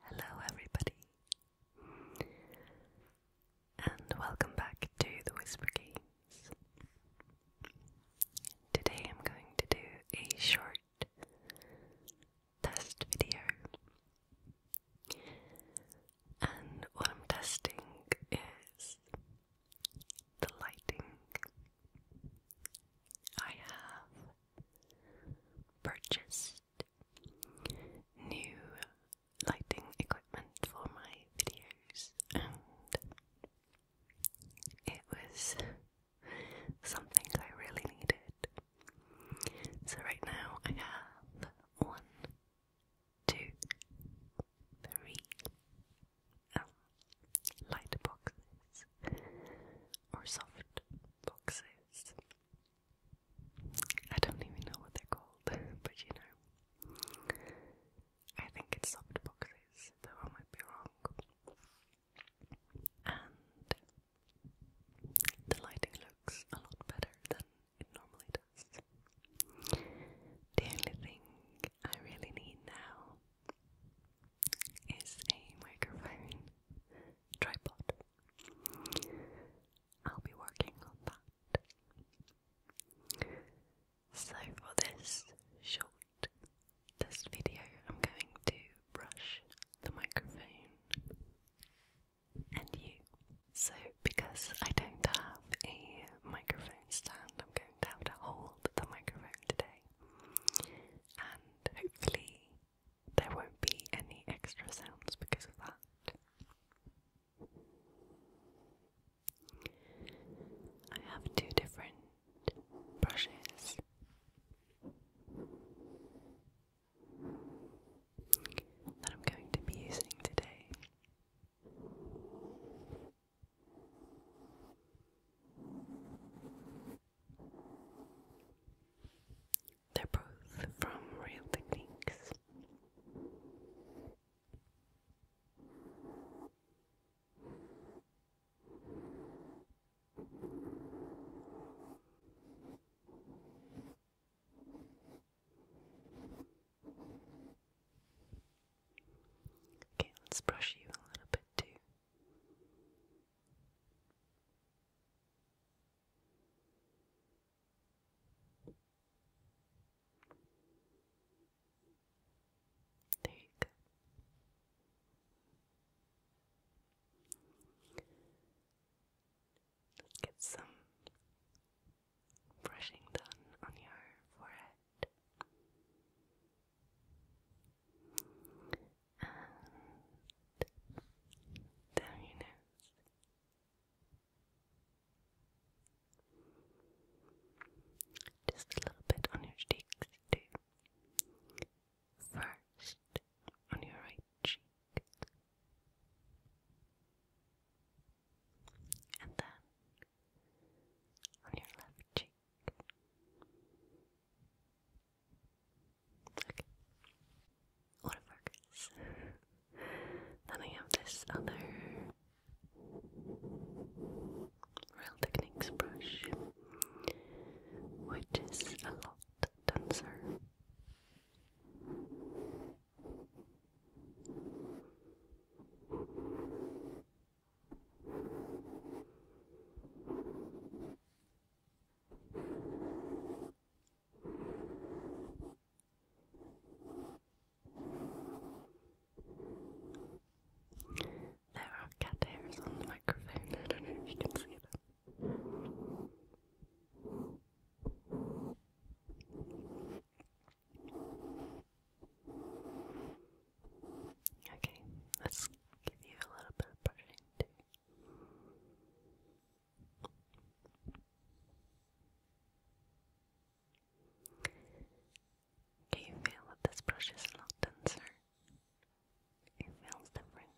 Hello, everybody, and welcome back to the Whisper Games. Today I'm going to do a short test video and what I'm testing is the lighting. I have purchased new lighting equipment for my videos, and it was something I really needed. So, right now, I have one two, three oh, light boxes or soft boxes. I don't even know what they're called, but you know, I think it's soft boxes, though I might be wrong. And the lighting looks a lot better than it normally does. The only thing I really need now is a microphone tripod. I'll be working on that. So for this short this video I'm going to brush the microphone and you. So, because I don't have a microphone stand, I'm going to have to hold the microphone today. And hopefully, there won't be any extra sounds because of that. I have two different brushes that I'm going to be using today. They're both from Real Techniques. Okay, let's brush you a little bit too. There you go. Get some brushing done on your forehead. And down your nose. Just a little bit on your cheeks too. First on your right cheek. And then on your left cheek. Okay. Autofocus. then I have this other Real Techniques brush, which is a lot denser there are cat hairs on the microphone. I don't know if you can see them. Okay, let's give you a little bit of brushing too. you feel that this brush is locked in, sir? It feels different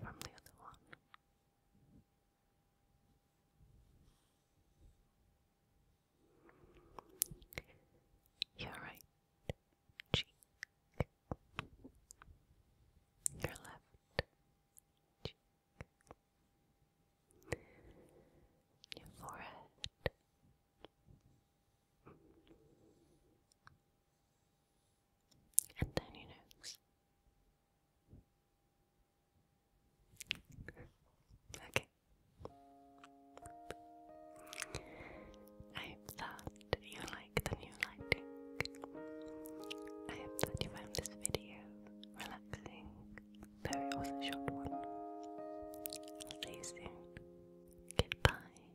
from the other one. Your right cheek, your left cheek, your forehead, and then you okay. I hope you like the new lighting. I hope that you found this video relaxing, though it was one. I'll see you soon. Goodbye